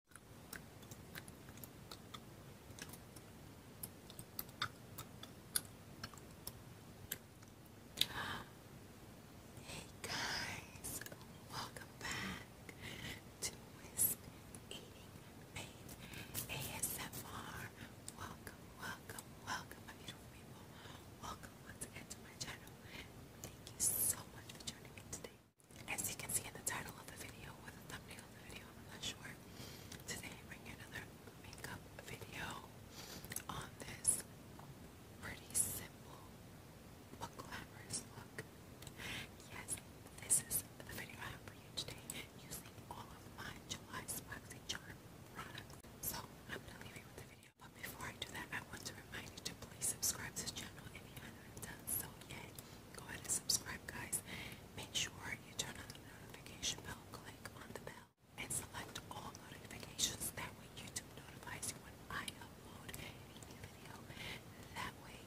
Hey guys, welcome back to Miss Eating Faith ASMR. Welcome, welcome, welcome, beautiful people. Welcome once again my channel. Thank you so much for joining me today. As you can see in the title of the video or the thumbnail of the video, I'm not sure. Today I bring you another makeup video on this pretty simple but glamorous look. Yes, this is the video I have you today using all of my July Smoxy Charm products. So I'm gonna leave you with the video. But before I do that, I want to remind you to please subscribe to this channel if you haven't done so yet. Go ahead and subscribe, guys. Make sure you turn on the notification bell, click on the bell, and select all notifications. That way, YouTube notifies you when I upload a video. That way,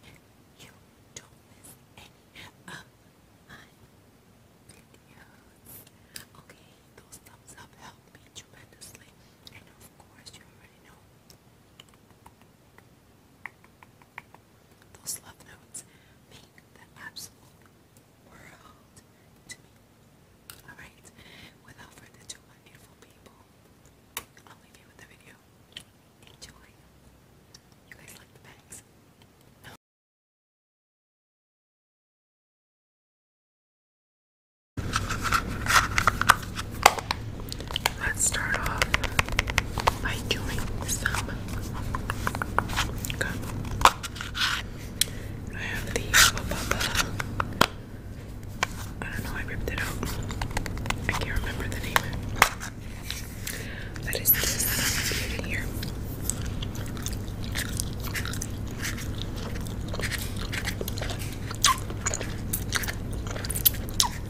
you don't miss any of my videos. Okay, those thumbs up help me tremendously. And of course, you already know. Those love notes mean the absolute world to me. Alright, without further ado, my beautiful people, I'll leave you with the video. Enjoy. You guys like the bags? Let's start off by doing some I have the I don't know, I ripped it out. I can't remember the name. That is this that here.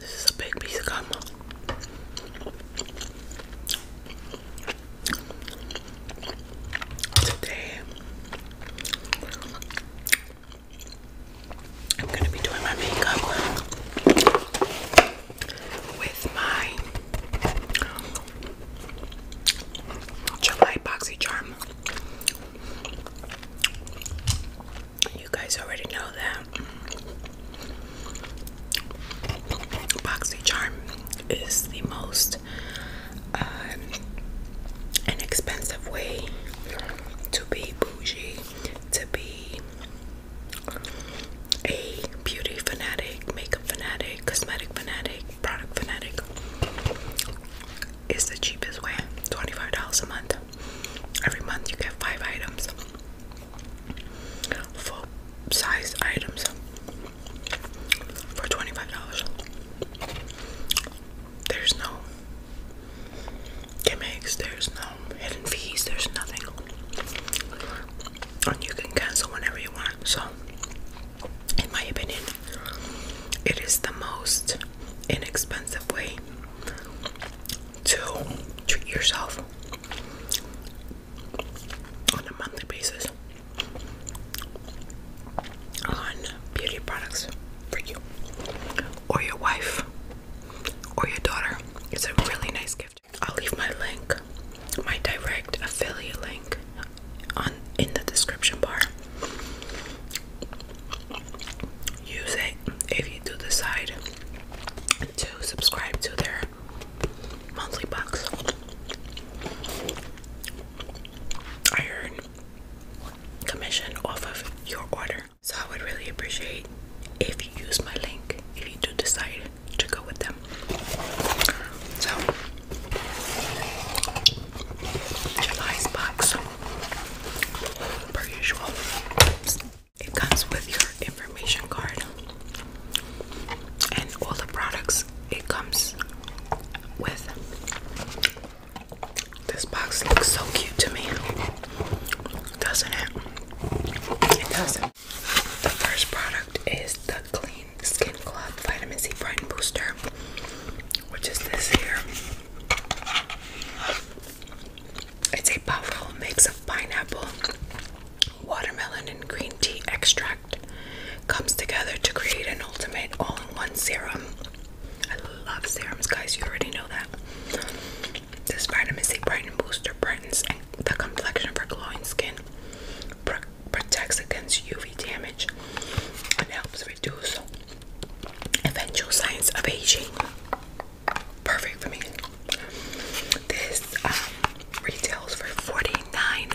This is a big piece of gum. Today, I'm going to be doing my makeup with my July Boxy Charm. You guys already know that charm is the most uh, inexpensive way to be bougie, to be a beauty fanatic, makeup fanatic, cosmetic fanatic, product fanatic. Is the cheapest way, $25 a month. Every month you get five items, full size items for $25. There's no gimmicks, there's no hidden fees, there's nothing. And you can cancel whenever you want. So, in my opinion, it is the most inexpensive way to treat yourself on a monthly basis on beauty products for you or your wife or your daughter. It's a really nice gift. I'll leave my link, my direct affiliate link on in the description bar use it if you do decide to subscribe to their monthly box. I earn commission off of your order. So I would really appreciate if you use my link if you do decide to go with them. So July's box per usual. It comes with your information card and all the products it comes with. This box looks so cute to me, doesn't it? It doesn't. The first product is the Clean Skin Club Vitamin C Brighten Booster, which is this here. It's a powerful mix of pineapple, watermelon, and green tea extract. Comes together to create an ultimate all-in-one serum. I love serums, guys. You already know that. This vitamin C brightening booster brightens the complexion for glowing skin, protects against UV damage, and helps reduce Eventual Signs of Aging. Perfect for me. This um, retails for 49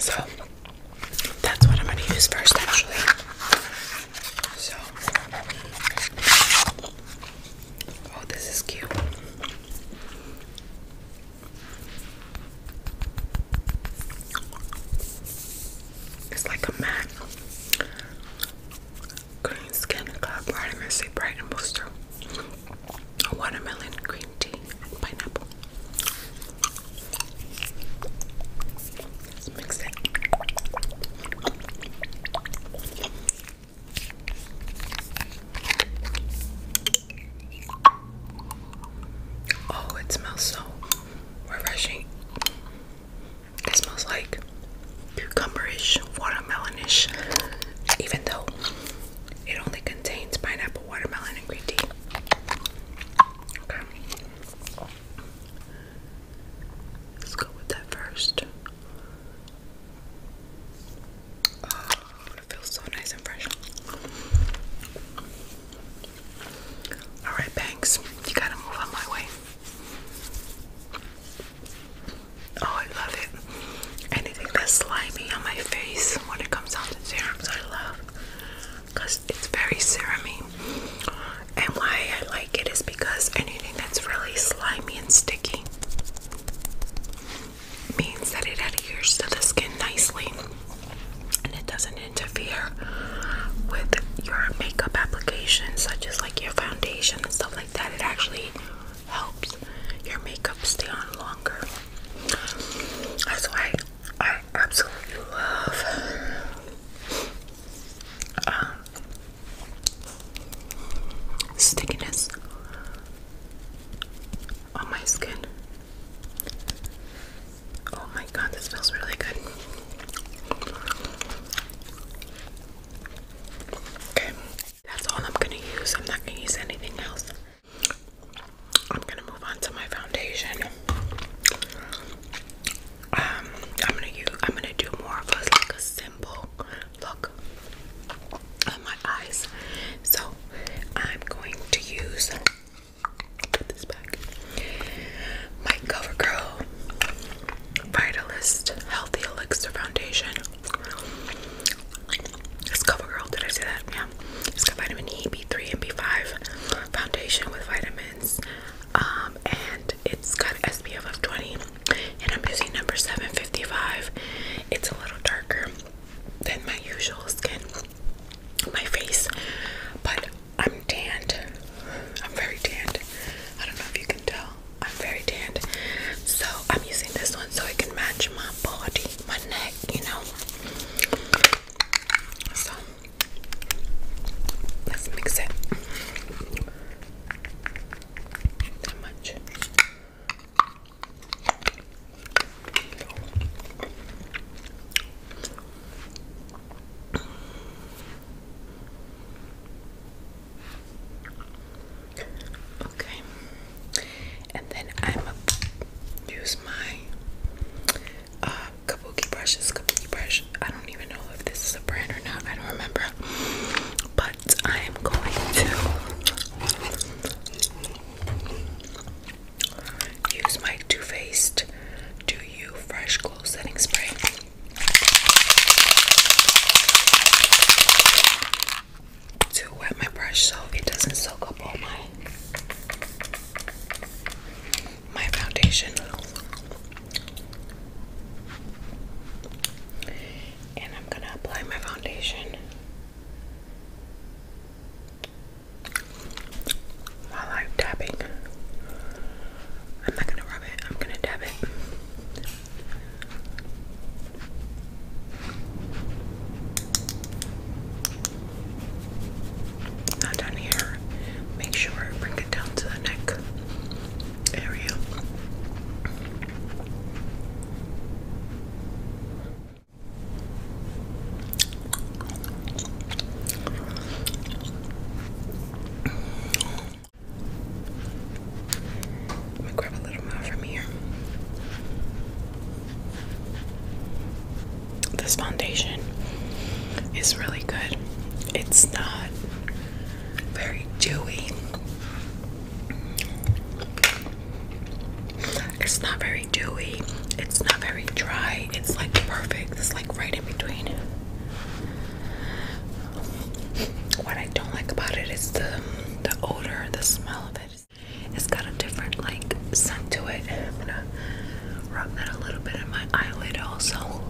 So that's what I'm going to use first, actually. So Oh, this is cute. It's like a matte green skin club vitamin bright and booster. watermelon green tea pineapple. Let's mix it. Oh, it smells so refreshing. It smells like cucumberish, watermelonish, even though it only contains pineapple, watermelon, and green tea. Okay. Let's go with that first. Oh, it feels so nice and fresh. Alright, Banks, you gotta move on my way. Oh, I love it. Anything that's slimy on my face when it comes out the serums, I love because it's very serumy. And why I like it is because any that's really slimy and sticky means that it adheres to the skin nicely and it doesn't interfere with your makeup application such as like your foundation and stuff like that it actually helps your makeup stay on longer that's why I absolutely love um, stickiness on my skin. Oh my god, this feels really good. Okay, that's all I'm gonna use. I'm not gonna use anything else. I'm gonna move on to my foundation. Um, I'm gonna use. I'm gonna do more of a, like a simple look my eyes. So I'm going to use put this back. My CoverGirl Vitalist Healthy Elixir Foundation. It's CoverGirl, did I say that? Yeah. It's got vitamin E, B3, and B5 foundation with vitamins um, and it's got SPF of 20 and I'm using number 755. It's a little darker than my usual skin, my face, but I'm tanned. I'm very tanned. I don't know if you can tell. I'm very tanned. So I'm using this one so it can match my body, my neck, you know. So let's mix it that much. Okay, and then I'm use my uh, kabuki brushes. Kabuki brush. I don't even know if this is a brand or not. I don't remember, but I am going to use my Too Faced Do You Fresh Glow Setting Spray. To wet my brush so it doesn't soak up all my my foundation and I'm gonna apply my foundation I'm tapping. I'm not gonna rub it, I'm gonna dab it. Not down here. Make sure bring it down to the neck area. I'm grab a little more from here. This foundation is really good. It's not very dewy, it's not very dewy. It's not very dry. It's like perfect. It's like right in between. What I don't like about it is the the odor, the smell of it. It's got a different like scent to it. I'm gonna rub that a little bit in my eyelid also.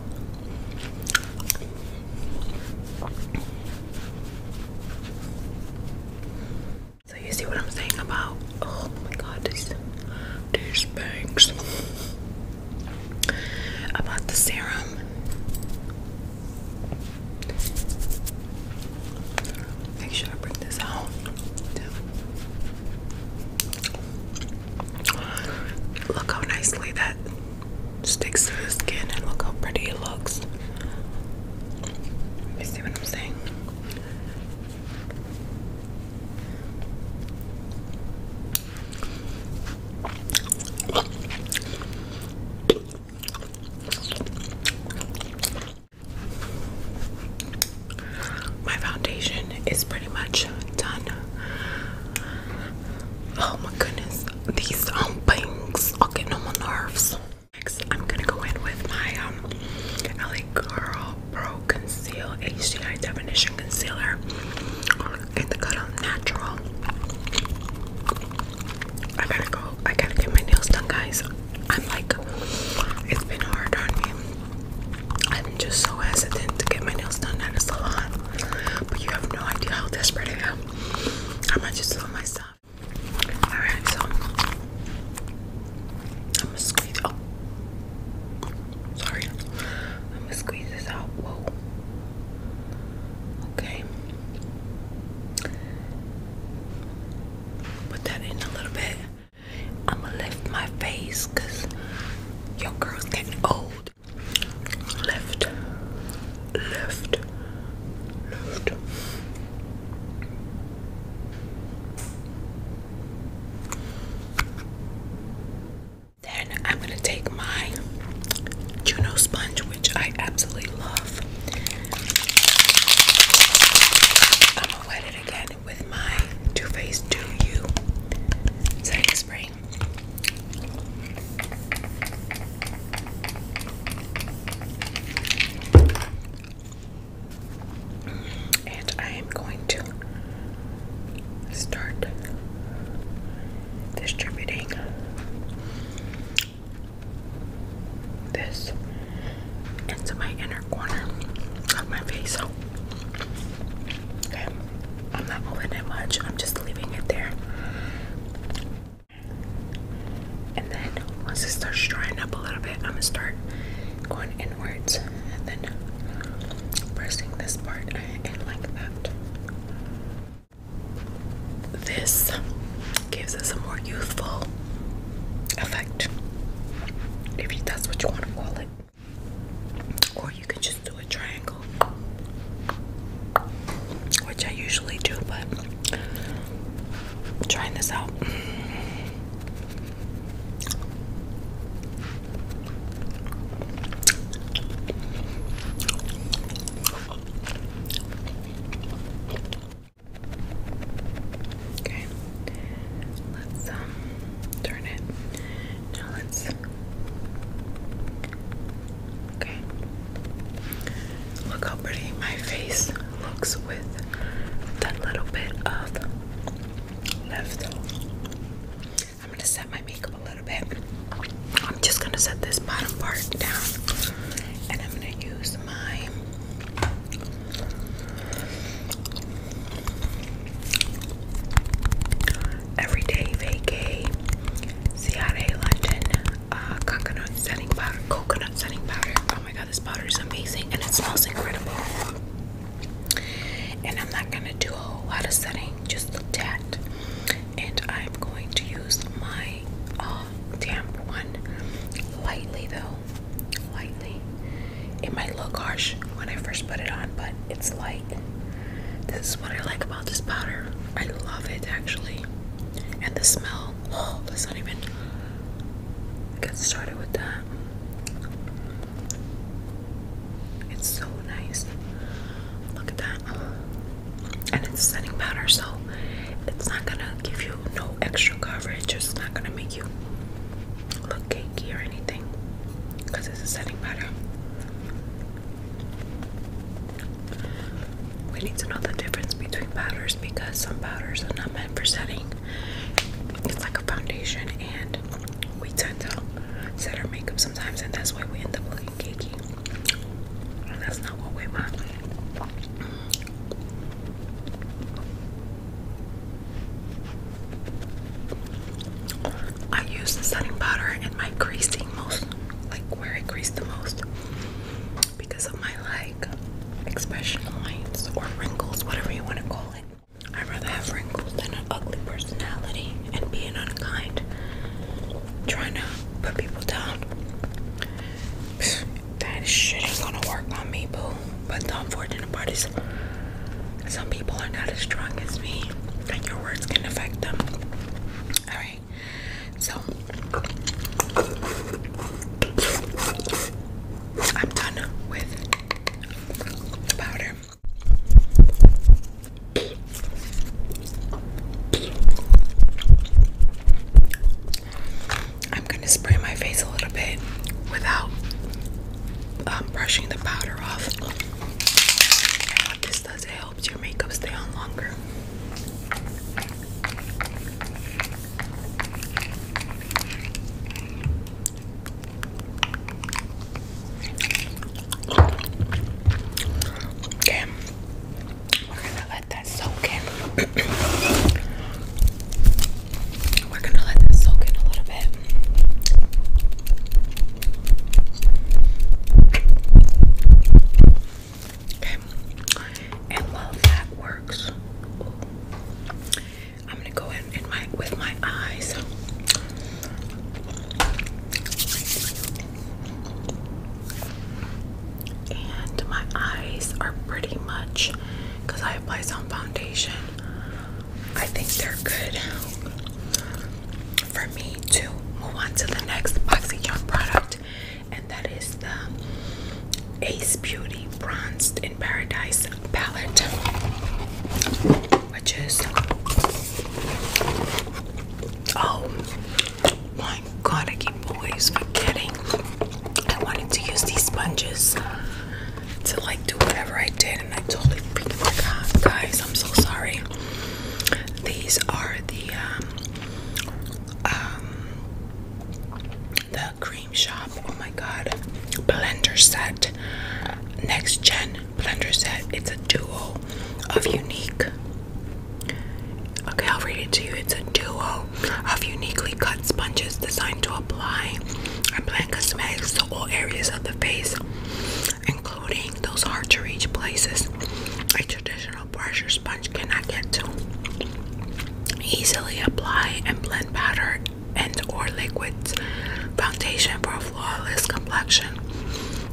So you see what I'm saying about oh my god these these bangs about the serum. Make sure I bring this out. Look how nicely that sticks to the skin and look how pretty it looks. You see what I'm saying? My foundation is pretty much done. Oh my goodness these um bangs. I'll get no more nerves. Next, I'm gonna go in with my um LA Girl Pro Conceal HDI Definition Concealer in the color Natural. I gotta go. I gotta get my nails done, guys. I'm like, it's been hard on me. I'm just so hesitant to get my nails done at a salon, but you have no idea how desperate I am. I might just slow myself. Alright, so I'm gonna squeeze. Oh, sorry. I'm gonna squeeze this out. Whoa. Okay. Put that in a little bit. I'm gonna lift my face because your girl's getting old left, left, left, Then I'm gonna take my Juno sponge, which I absolutely love. I'm gonna wet it again with my Too Faced Do You setting spray. And I am going to start distributing this into my inner corner of my face. I'm not moving it much. I'm just leaving it there. And then once it starts drying up a little bit, I'm gonna start going inwards and then pressing this part in like that. This gives us a more youthful effect, if that's what you want to call it, you could just do a triangle, which I usually do, but trying this out. Okay, let's um turn it. Now let's Okay. Look how pretty my face looks with that little bit of left. I'm gonna set my makeup a little bit. I'm just gonna set this bottom part down and I'm gonna use my everyday vacay, Ciara London uh, coconut setting powder, coconut setting powder. Oh my god, this powder is amazing and it smells incredible. And I'm not gonna do a whole lot of setting, just a tad. And I'm going to use my uh, damp one lightly though, lightly. It might look harsh when I first put it on, but it's light. This is what I like about this powder. I love it actually. And the smell. Oh, let's not even get started with that. It's so nice. Look at that. And it's setting powder, so it's not gonna give you no extra coverage. It's not gonna make you look cakey or anything because it's a setting powder. We need to know the difference between powders because some powders are not meant for setting. It's like a foundation, and we tend to set our makeup sometimes, and that's why we end up looking cakey. that's not what we want. I use the setting powder in my creasing most like where I crease the most, because of my like expression lines or wrinkles, whatever you want to call it. i rather have wrinkles than an ugly personality and being unkind, trying to put people down. That shit ain't gonna work on me, boo. But the unfortunate part is, some people are not as strong as me, and your words can affect them. All right. So I'm done with the powder. I'm going to spray my face a little bit without um, brushing the powder off. what this does, helps your makeup stay on longer. Okay, we're gonna let that soak in. we're gonna let that soak in a little bit. Okay. And while that works, I'm gonna go in, my with my eyes. And my eyes are pretty much because I apply some foundation. I think they're good for me to move on to the next Boxing Young product, and that is the Ace Beauty Bronzed in Paradise palette, which is oh my god, I keep always forgetting. I wanted to use these sponges to like do whatever I did, and I totally freaking forgot, guys. I'm so sorry. These are the um, um, the cream shop. Oh my god, blender set, next gen blender set. It's a duo of unique. Okay, I'll read it to you. It's a duo of uniquely cut sponges designed to apply and blend cosmetics to all areas of the face including those hard to reach places a traditional pressure sponge cannot get to. Easily apply and blend powder and or liquids. Foundation for a flawless complexion.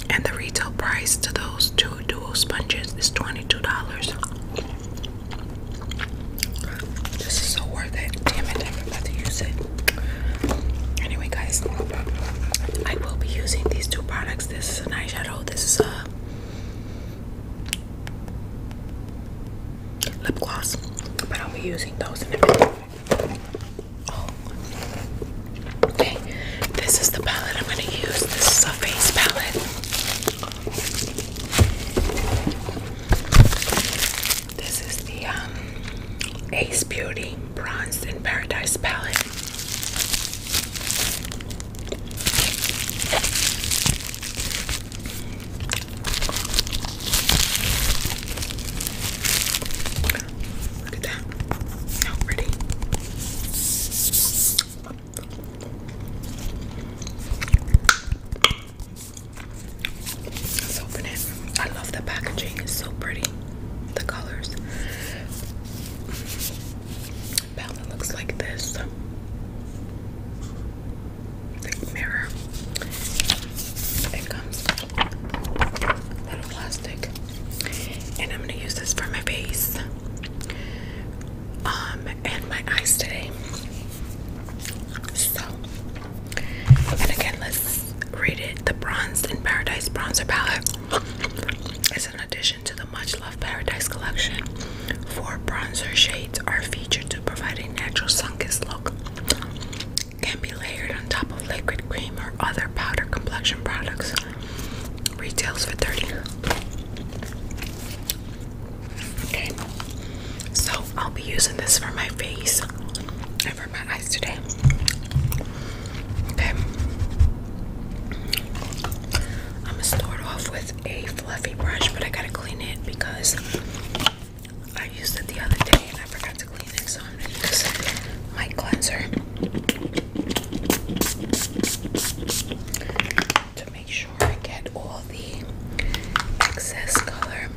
And the retail price to those two dual sponges is $22. This is so worth it. Damn it, I'm about to use it. Anyway, guys, I will be using these two products. This is an eyeshadow. This is a lip gloss, but I'll be using those in a minute. Oh, okay. This is the palette I'm going to use. This is a face palette. This is the um Ace Beauty Bronze in Paradise palette. Look at that. How pretty. Let's open it. I love the packaging. It's so pretty. The colors palette looks like this big mirror. It comes little plastic, and I'm gonna use this for my face um and my eyes today. So, and again, let's read it: the Bronze in Paradise Bronzer Palette. As an addition to the much loved Paradise collection, four bronzer shades are featured to provide a natural sun-kissed look. Can be layered on top of liquid cream or other powder complexion products. Retails for 30. Okay. So I'll be using this for my face and for Okay. I'm gonna start off with a fluffy brush, but I gotta clean it because I used it the other day and I forgot to clean it, so I'm gonna use my cleanser to make sure I get all the excess color.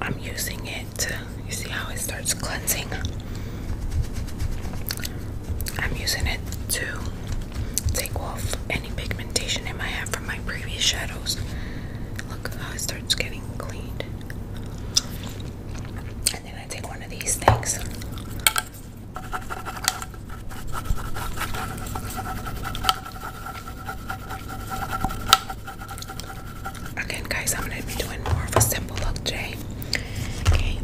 I'm using it it. You see how it starts cleansing? I'm using it to take off any pigmentation it might have from my previous shadows. Look how it starts getting cleaned. And then I take one of these things. Again, guys, I'm gonna be doing more of a simple look today. Okay,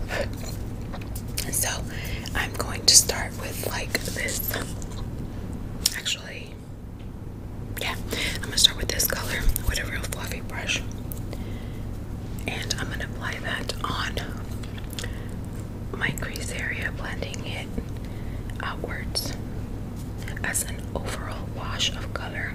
so I'm going to start with like this. Actually, yeah, I'm gonna start with this color with a real fluffy brush, and I'm gonna apply that on my crease area, blending it outwards as an overall wash of color.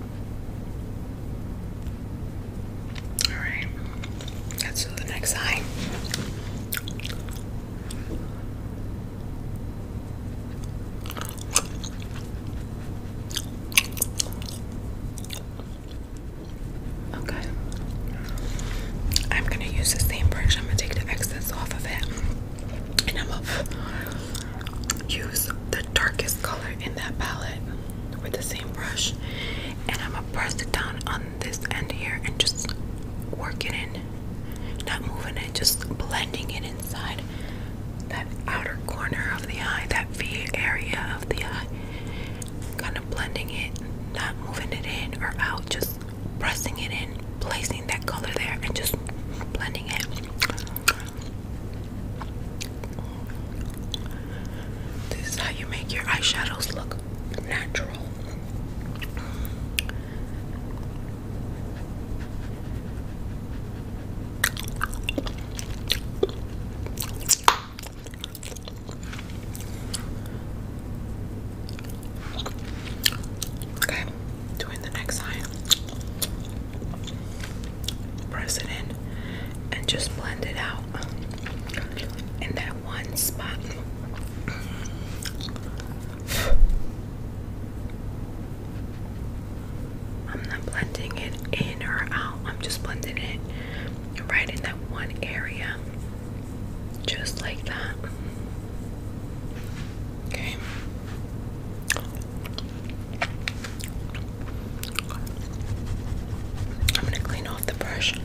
All right, the next eye. Okay. I'm gonna use the same brush. I'm gonna take the excess off of it, and I'm going use the darkest color in that palette with the same brush and I'm gonna press it down on this end here and just work it in not moving it just blending it inside that outer corner of the eye that V area of the eye kind of blending it not moving it in or out just pressing it in placing that color there and just blending it this is how you make your eyeshadows look natural. Okay, doing the next eye press it in and just blend it out in that one spot. I'm not blending it in or out, I'm just blending it right in that one area, just like that. Okay, I'm going to clean off the brush.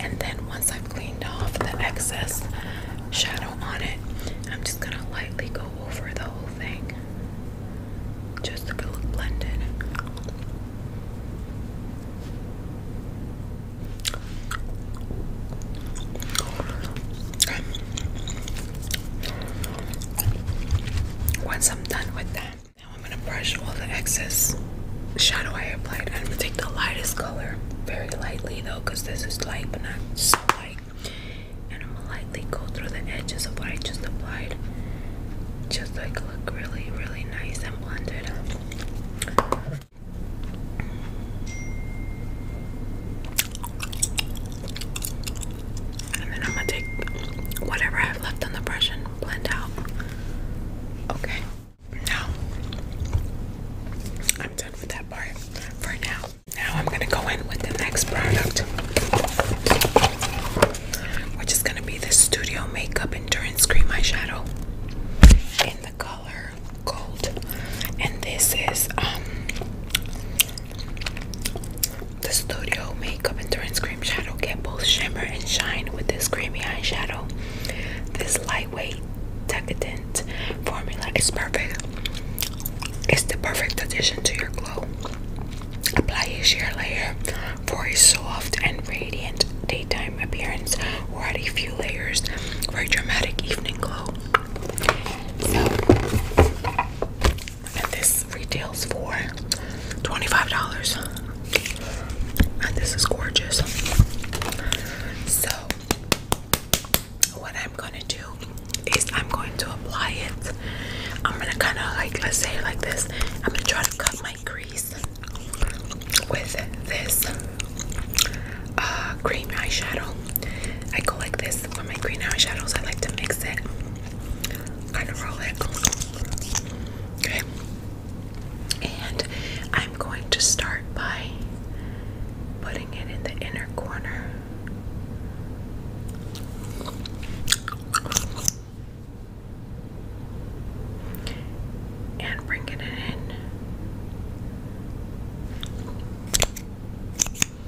And then once I've cleaned off the excess shadow on it, I'm just going to lightly go over the whole thing just to get look blended. Once I'm done with that, now I'm gonna brush all the excess shadow I applied. I'm gonna take the lightest color, very lightly though, because this is light but not so light. And I'm gonna lightly go through the edges of what I just applied. Just like look really, really nice and blended. And then I'm gonna take whatever I have left on the brush and blend out. Okay. Now I'm done with that part for now. Now I'm gonna go in with the next product, which is gonna be the Studio Makeup Endurance Cream Eyeshadow in the color gold. And this is um the Studio Makeup Endurance Cream Shadow. Get both shimmer and shine with this creamy eyeshadow. This lightweight, decadent formula is perfect. It's the perfect addition to your glow. Apply a sheer layer for a soft and radiant daytime appearance, or add a few layers for a dramatic evening glow. So, and this retails for $25 and this is gorgeous so what I'm gonna do is I'm going to apply it I'm gonna kind of like let's say like this I'm gonna try to cut my crease with this uh, green eyeshadow I go like this this my green eyeshadows. I like to mix it, kind it. Okay. And I'm going to start by putting it in the inner corner. And bringing it in.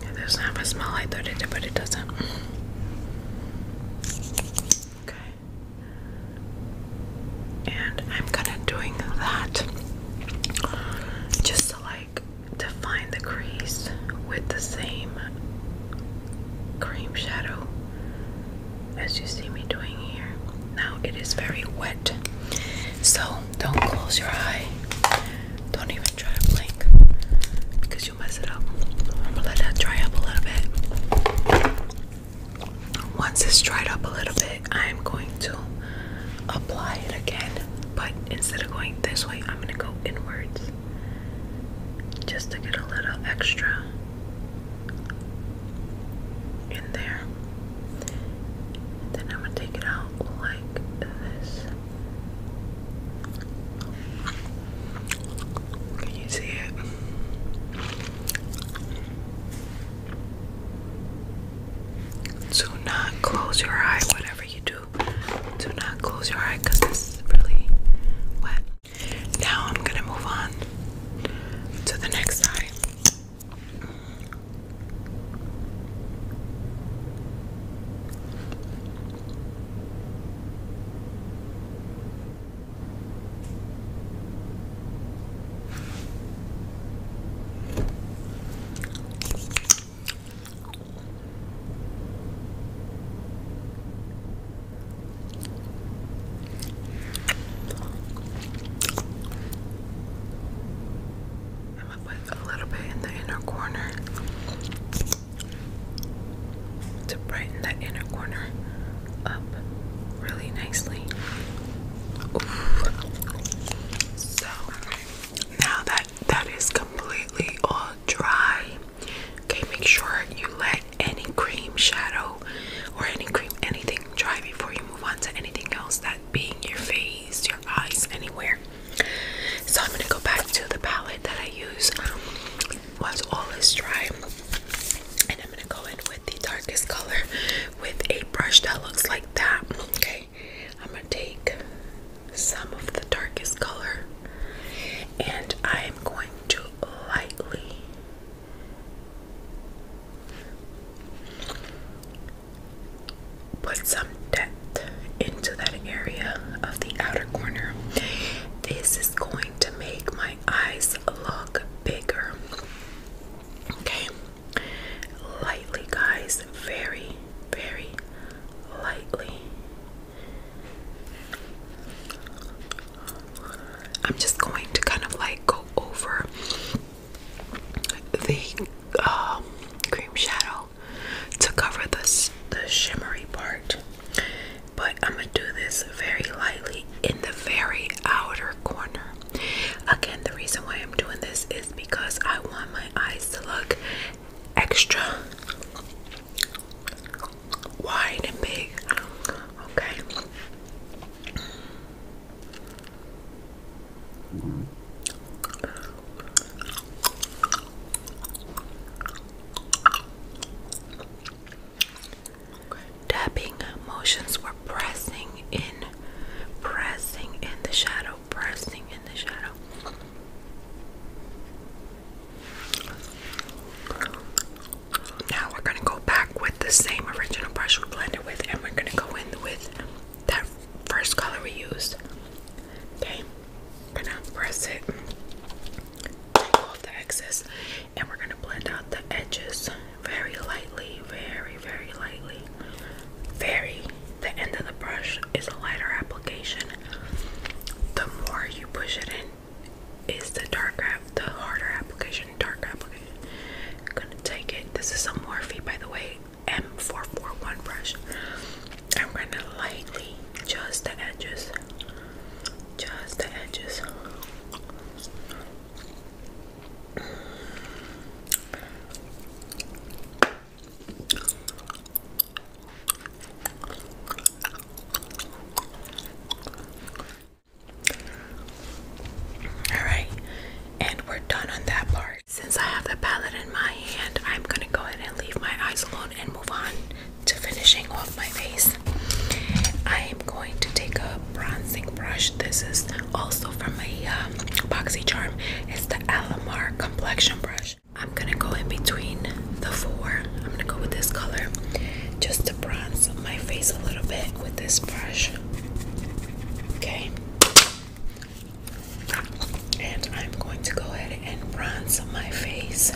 It doesn't have a smell. I thought it did, but it doesn't. Okay. And I'm kind of doing that just to like define the crease with the same cream shadow as you see me doing here. Now it is very wet, so don't close your eye. Don't even try to blink because you'll mess it up. I'm gonna let that dry up a little bit. Once it's dried up a little bit, I'm going to apply it again. But instead of going this way, I'm gonna go inwards just to get a little extra in there. then I'm gonna take it out like this. Can you see it? Do not close your eye, whatever you do. Do not close your eye because this is really wet. Now I'm gonna move on to the next eye. I'm gonna put a little bit in the inner corner to brighten that inner corner up really nicely. So now that that is completely all dry, okay, make sure you let any cream shadow or any cream anything dry before you move on to anything else that being your face, your eyes, anywhere. So I'm gonna go back to the palette that I use um, all is dry, and I'm gonna go in with the darkest color with a brush that looks like that. Okay, I'm gonna take some of the darkest color, and I am going to lightly. Put some into that area of the outer corner. This is going to make my eyes look bigger. Okay, lightly, guys, very, very lightly. I'm just going to kind of like go over the um, cream shadow to cover the, the shimmery part. But I'm going to do this very lightly in the very outer corner. Again, the reason why I'm doing this is because I want my eyes to look extra wide and big. Okay. Tapping motions were pressing in, pressing in the shadow, pressing in the shadow. Now we're gonna go back with the same original brush we blended with, and we're gonna go in with that first color we used. Okay, we're gonna press it, off the excess, and we're gonna blend out the edges very lightly, very, very lightly. Very, the end of the brush is a lighter application. The more you push it in, is the darker, the harder application, darker application. gonna take it. This is a Morphe, by the way, M441 brush. I'm gonna lightly just the edges, just the edges. All right, and we're done on that part. Since I have the palette in my hand, I'm gonna go ahead and leave my eyes alone and move on to finishing off my face, I am going to take a bronzing brush. This is also from my um, BoxyCharm. It's the Alamar Complexion Brush. I'm gonna go in between the four. I'm gonna go with this color just to bronze my face a little bit with this brush. Okay. And I'm going to go ahead and bronze my face.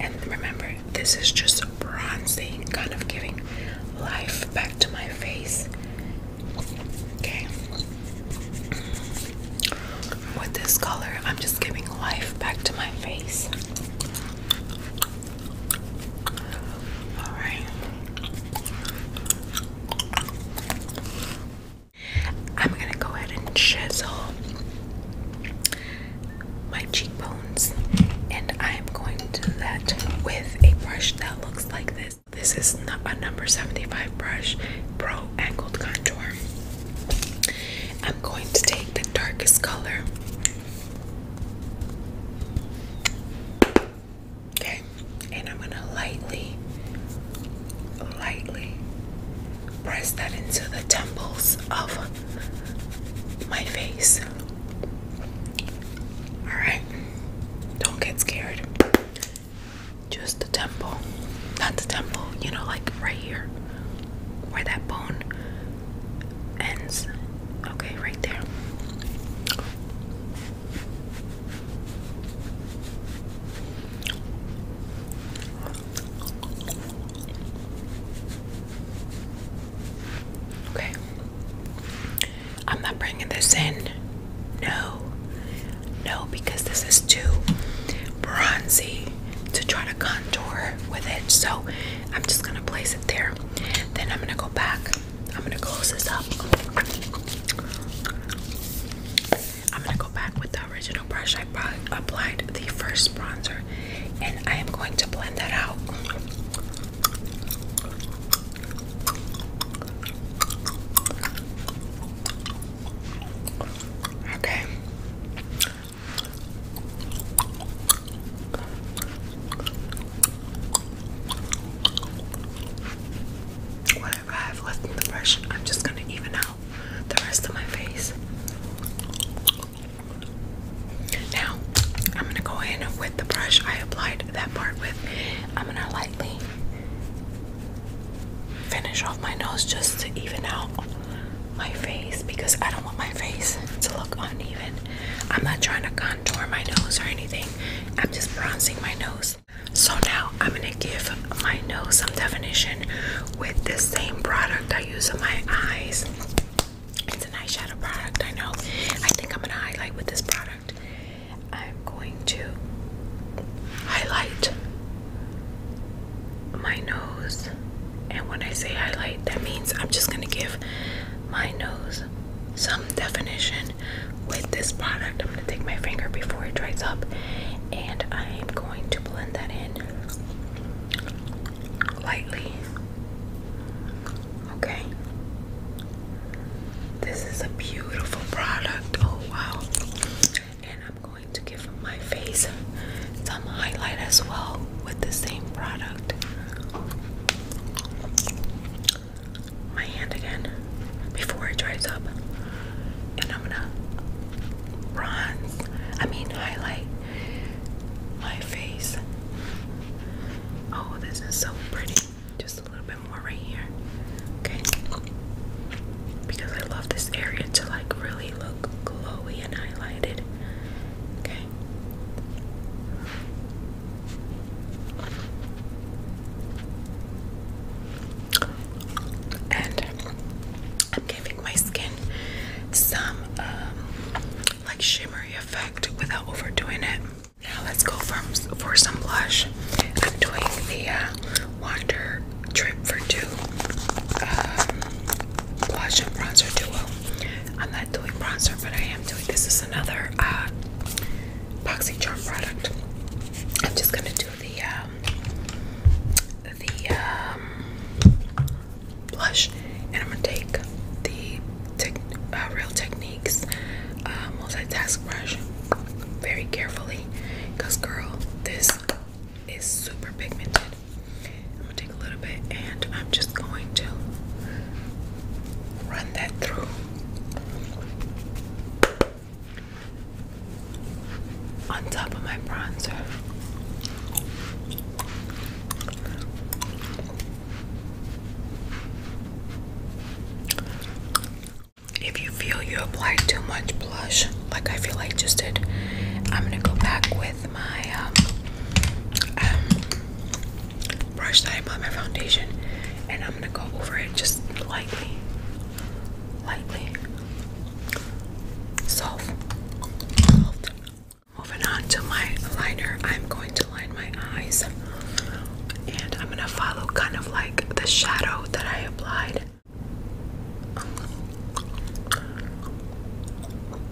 And remember, this is just bronzing, kind of giving life back to my face. Okay. With this color, I'm just giving life back to my face. All right. I'm going to go ahead and chisel my cheekbones and I'm going to do that with a brush that looks like this. This is a number 75 brush, Pro Angled Contour. I'm going to take the darkest color Okay, and I'm gonna lightly, lightly press that into the temples of my face. Alright, don't get scared. Just the temple, not the temple, you know, like right here where that bone ends. Okay, right there. Okay. I'm not bringing this in. No. No, because this is too bronzy to try to contour with it. So I'm just gonna place it there. Then I'm gonna go back. I'm gonna close this up. I'm gonna go back with the original brush I applied the first bronzer, and I am going to blend that out. Okay. Whatever I have left in the brush, I'm just gonna even out the rest of my face. Now, I'm gonna go in with the brush I applied that part with. I'm gonna lightly finish off my nose just to even out my face because I don't want my face to look uneven. I'm not trying to contour my nose or anything. I'm just bronzing my nose. So now I'm going to give my nose some definition with the same product I use on my eyes. It's an eyeshadow product, I know. I think I'm going to highlight with this product. I'm going to highlight my nose. And when I say highlight, that means I'm just going to give my nose some definition with this product. I'm going to take my finger before it dries up and I'm going to blend that in lightly. Okay. This is a beautiful product. Oh wow. And I'm going to give my face some highlight as well with the same product my hand again before it dries up. And I'm gonna bronze, I mean, highlight my face. Oh, this is so pretty. Just a little bit more right here. Okay. Because I love this area to like really look glowy and highlighted. Okay. And I'm giving my skin some um, like shimmery effect without overdoing it. Now let's go for, for some blush. I'm doing the uh, Trip for Two um, blush and bronzer duo. I'm not doing bronzer, but I am doing this is another uh, charm product. I'm just gonna do the um, the um, blush, and I'm gonna take the uh, Real Techniques uh, multitask brush very carefully, cause girl, this is super pigmented. I'm gonna take a little bit and I'm just going to run that through. On top of my bronzer, if you feel you applied too much blush, like I feel like just did, I'm gonna go back with my um, um, brush that I put my foundation, and I'm gonna go over it just lightly, lightly. Solved. Moving on to my liner, I'm going to line my eyes, and I'm gonna follow kind of like the shadow that I applied.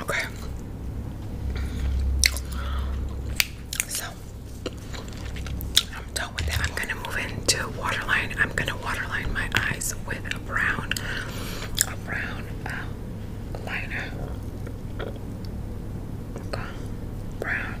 Okay. So I'm done with that. I'm gonna move into waterline. I'm gonna waterline my eyes with a brown, a brown um, liner. Okay. Brown.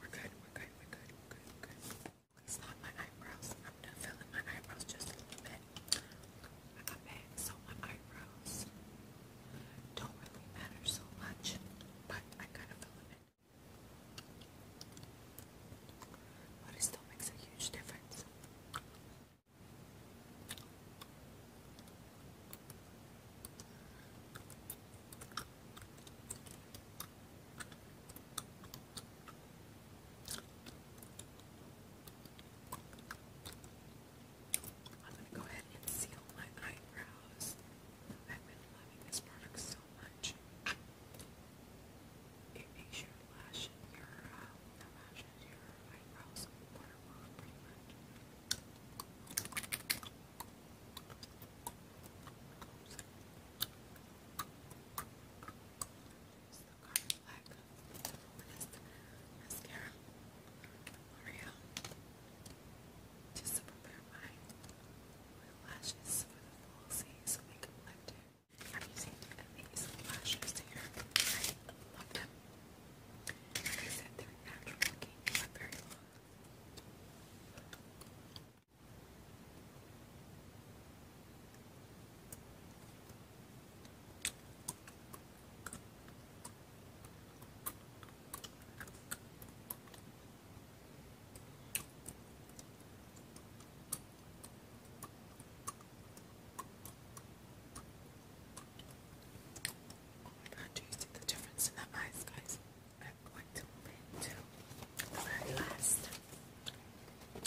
We're good, we're good, we're good, we good, we're good. It's my eyebrows. I'm filling my eyebrows just a little bit. i so my eyebrows don't really matter so much, but I kind of fill in. But it still makes a huge difference. I'm going to go ahead and seal my eyebrows. I've been loving this product so much. It makes your lashes, your uh, not lashes, your eyebrows waterproof pretty much. Oops. the Carmen Black. mascara. Just to prepare my lashes for the fall season, so they I'm using these lashes here. I love them. Like said, they're natural looking, but very long. Now, do you see the difference in the eyes, guys? I'm going to the very last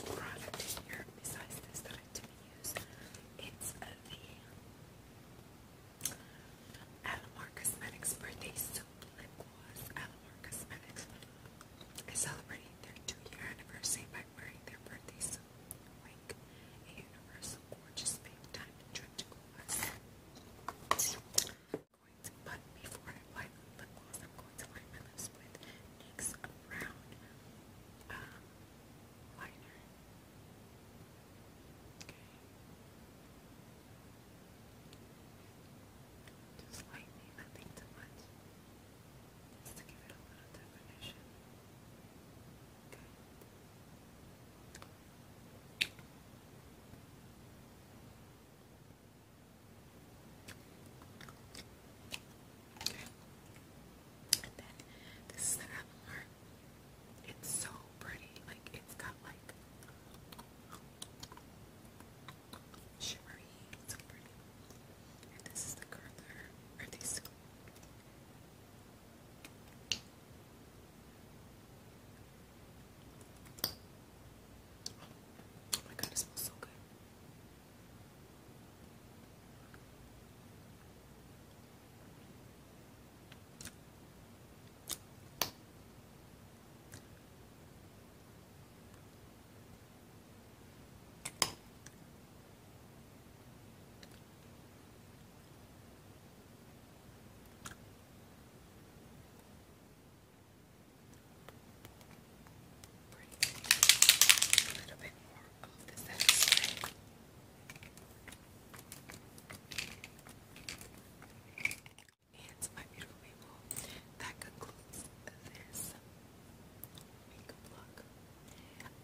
product here, besides this that I didn't use. It's uh, the Alamar Cosmetics Birthday Lip Gloss. Malamar Cosmetics is celebrating their two-year anniversary by wearing their birthday suit, a universal gorgeous diamond drip I'm going to, but before I apply the lip gloss, I'm going to line my lips with NYX Brown um, Liner. Okay. Just lightly, nothing too much to give it a little definition. Okay. And then this is the apple art. It's so pretty. Like it's got like shimmery, so this is the color, Oh my god, it smells so good. A little bit more of this extra. And my beautiful that concludes this makeup look.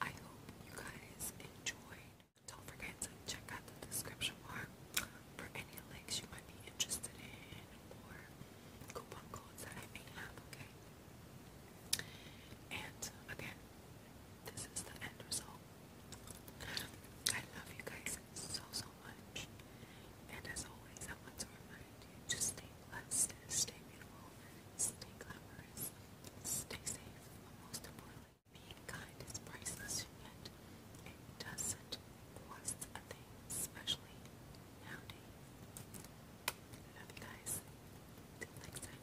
I hope you guys enjoyed. Don't forget to check out the description bar for any links you might be interested in or coupon codes that I may have, okay? And again, this is the end result. I love you guys so, so much. And as always, I want to remind you to stay blessed, stay beautiful, stay glamorous, stay safe, most importantly, being kind is priceless, yet it doesn't cost a thing, especially nowadays. Love you guys. Till next time.